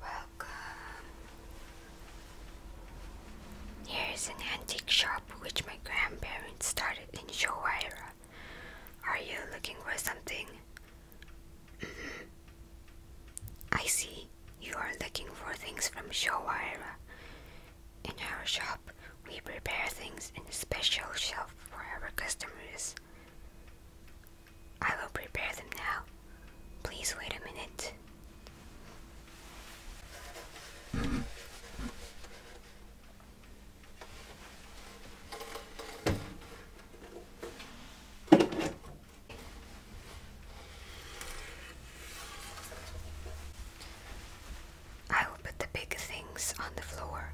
Welcome. Here's an antique shop which my grandparents started in Showaira. Are you looking for something? Mm-hmm. I see you are looking for things from Showaira. In our shop, we prepare things in a special shelf for our customers. I will prepare them now. Please wait a minute. I will put the big things on the floor.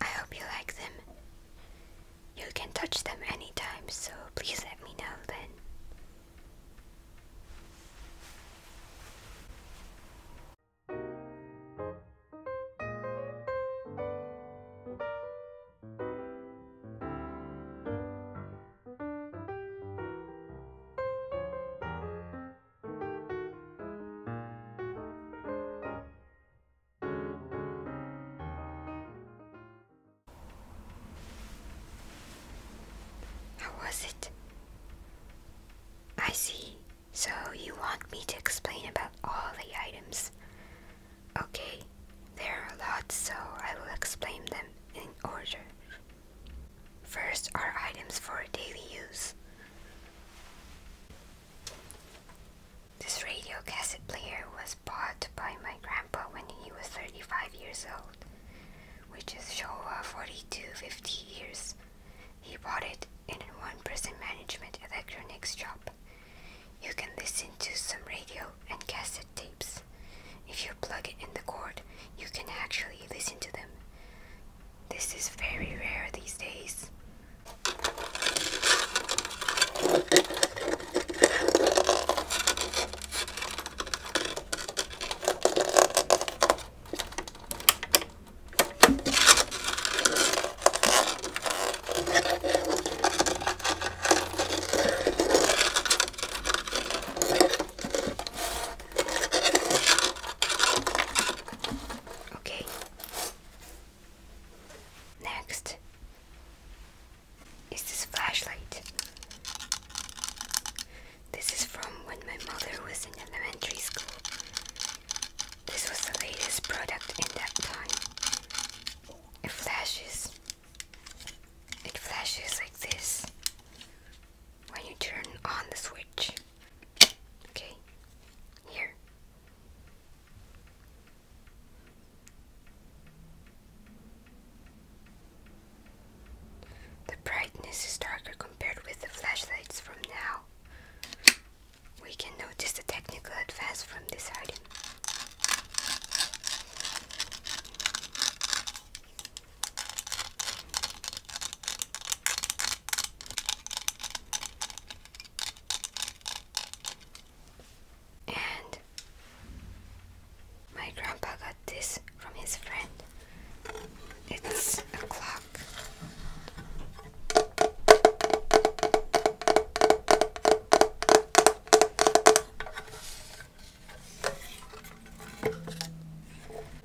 I hope you like them. You can touch them anytime, so please let me know then. How was it? I see. So you want me to explain about all the items. Okay, there are a lot, so I will explain them in order. First are items for daily use. This radio cassette player was bought by my grandpa when he was 35 years old, which is Showa 4250 years. He bought it in a one person management electronics shop. You can listen to some radio and cassette tapes. If you plug it in the cord, you can actually listen to them. This is very rare these days. Okay. Next is this flashlight. This is from when my mother was in elementary school. This was the latest product in that time. It flashes. It flashes like this when you turn on the switch. Okay, here. The brightness is darker compared with the flashlights from now. We can notice the technical advance from this item. And my grandpa got this from his friend. It's a clock.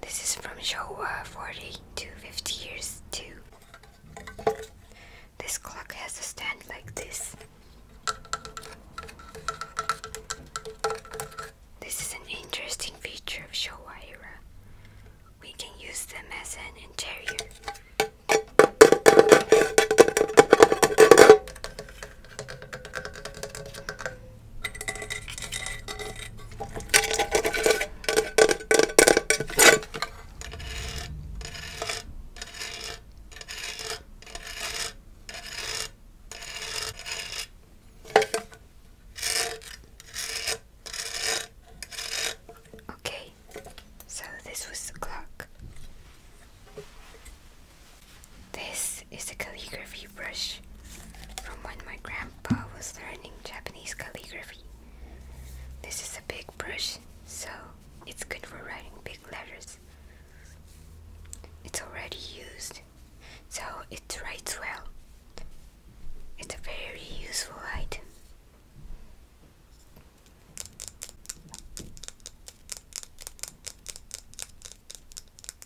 This is from Showa uh, 40 to 50 years too. This clock has a stand like this. This is an interesting feature of Showa era. We can use them as an interior. Okay, so this was the clock. This is a calligraphy brush from when my grandpa was learning Japanese calligraphy. This is a big brush, so it's good for writing big letters. It's already used, so it writes well. It's a very useful item.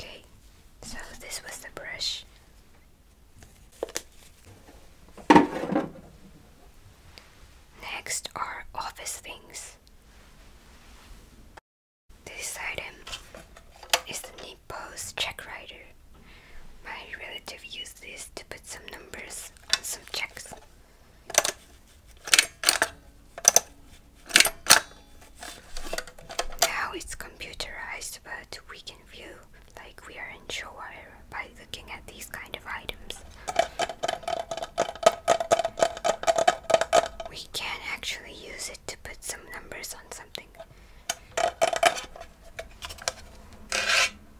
Okay, so this was the brush. Next are office things. This item is the Nippos check writer. My relative used this to put some numbers on some checks. Now it's computerized, but we can feel like we are in Showire by looking at these kind of items. We can actually use it to put some numbers on something.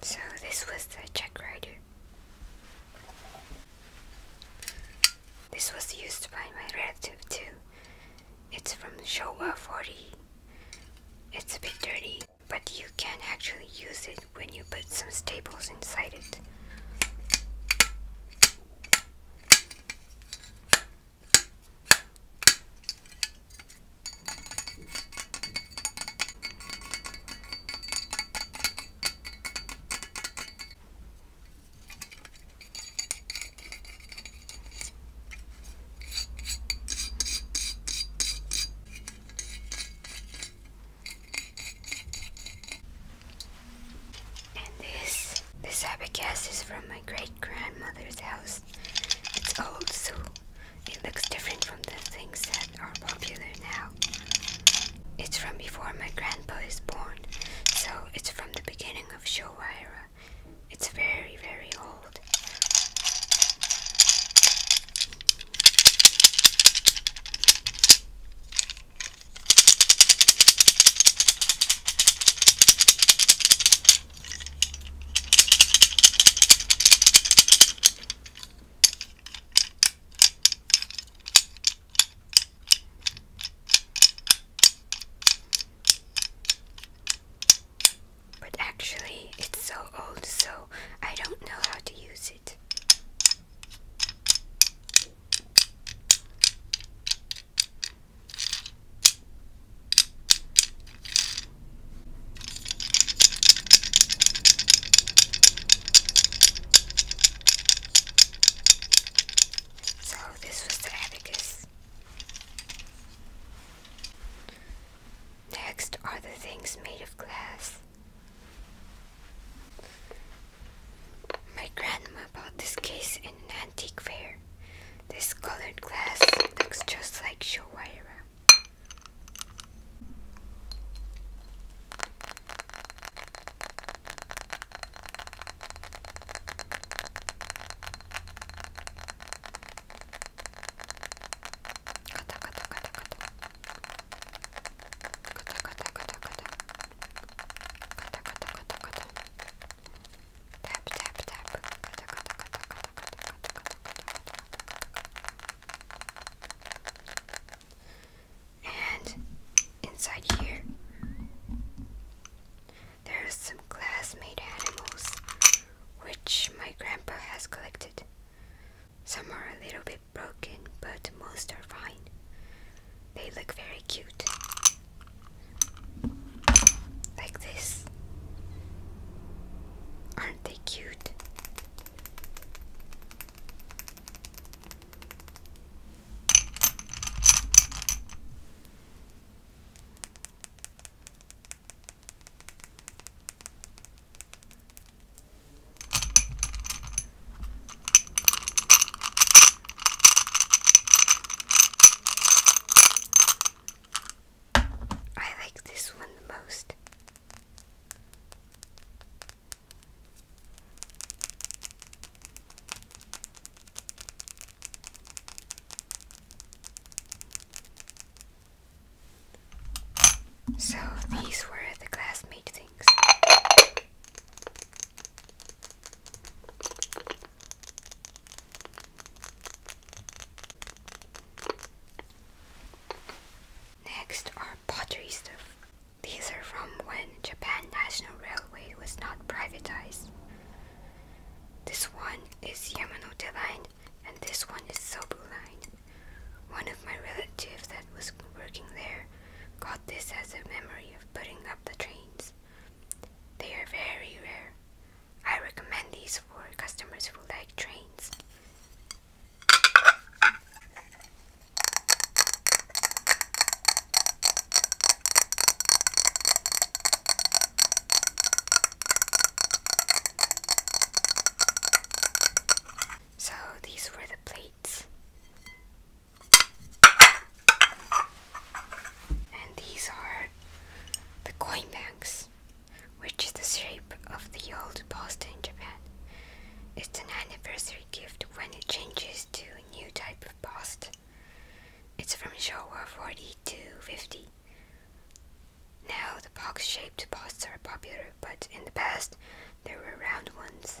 So this was the check writer. This was used by my relative too. It's from Showa 40. It's a bit dirty, but you can actually use it when you put some staples inside it. And this, this abacus is from my great grandmother's house. It's old, also it looks different from the things that are popular now. It's from before my grandpa is born, so it's from the beginning of Showa era. It's very, very old. But actually, it's so old, so I don't know how to use it. So this was the abacus. Next are the things made of glass. My grandma bought this case in an antique fair. This colored glass looks just like Showaira. Kata kata kata kata kata kata kata kata kata kata kata kata Tap tap tap. And inside here, there's some glass-made animals, which my grandpa has collected. Some are a little bit broken, but most are fine. They look very cute. Like this. Aren't they cute? I like this one the most. So these were the classmate things. Next are pottery stuff. These are from when Japan National Railway was not privatized. This one is Yamanote Line and this one is Sobu Line. One of my relatives that was working there got this as a memory of putting up the trains. They are very rare. I recommend these for customers who like trains. So these were the plates. And these are the coin banks, which is the shape of the old post in Japan. It's an anniversary gift when it changes to a new type of post. It's from Showa 40 to 50. Now the box-shaped posts are popular, but in the past there were round ones.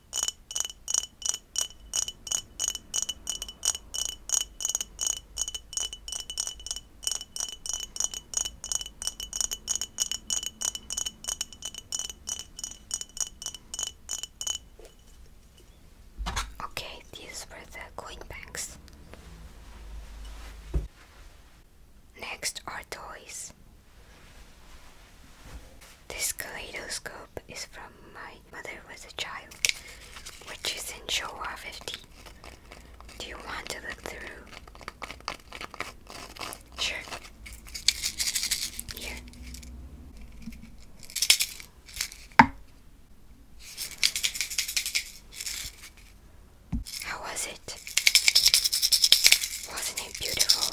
Okay, these were the coin banks. Next are toys. This kaleidoscope is from my mother was a child, which is in Showa 50. Do you want to look through? Sure. Here. How was it? Wasn't it beautiful?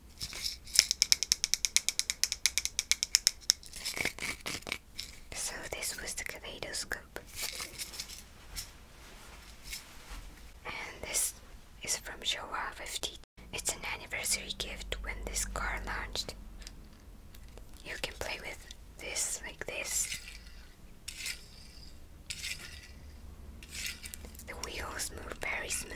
So this was the kaleidoscope. And this is from Showa 50. It's an anniversary gift when this car launched. You can play with this like this. The wheels move very smooth.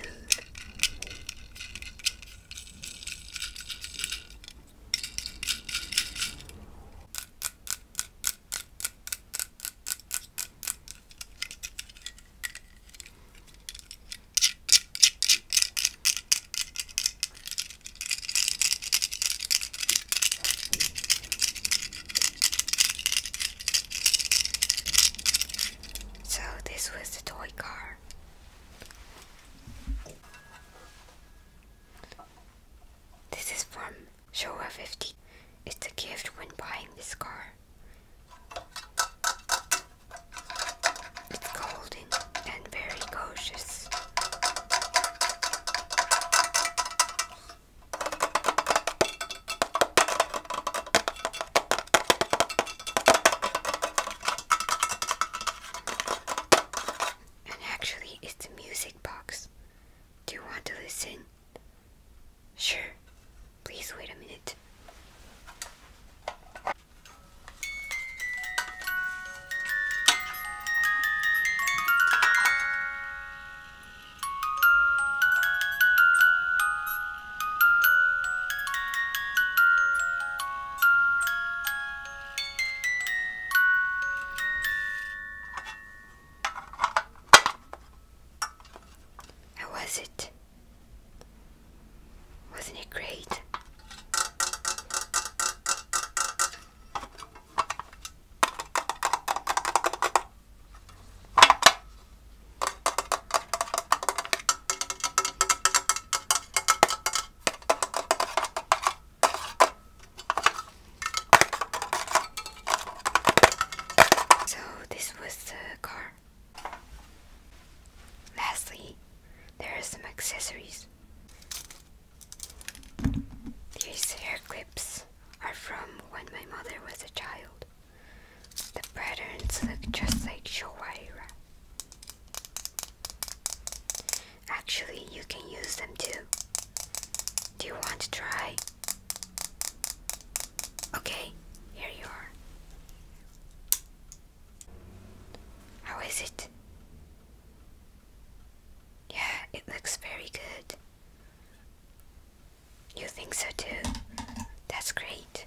So this was the toy car. This is from Showa 50. It's a gift when buying this car. It's golden and very gorgeous. And actually, it's music box. Do you want to listen? Sure. Please wait a minute. How was it? Wasn't it great? So this was the car. Lastly, there are some accessories. These hair clips are from when my mother was a child. The patterns look just like Showaira. Actually, you can use them too. Do you want to try? Okay, here you are. How is it? Yeah, it looks very good. You think so too? That's great.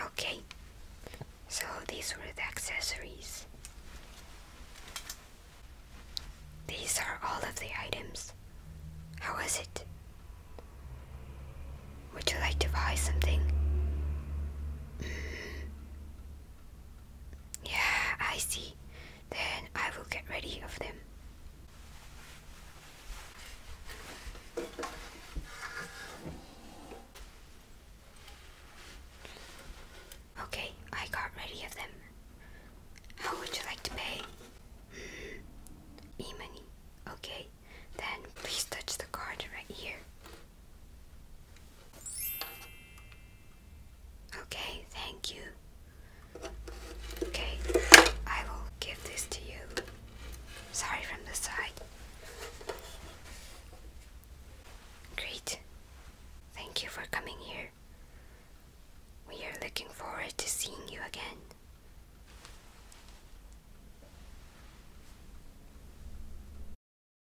Okay, so these were the accessories. These are all of the items. How was it? Would you like to buy something? Yeah, I see. Then I will get ready of them. Okay, I got ready of them. How would you like to pay? Hmm, e-money. Okay, then please touch the card right here. Okay, thank you. Okay, I will give this to you. Sorry from the side. Great. Thank you for coming here. We are looking forward to seeing you again.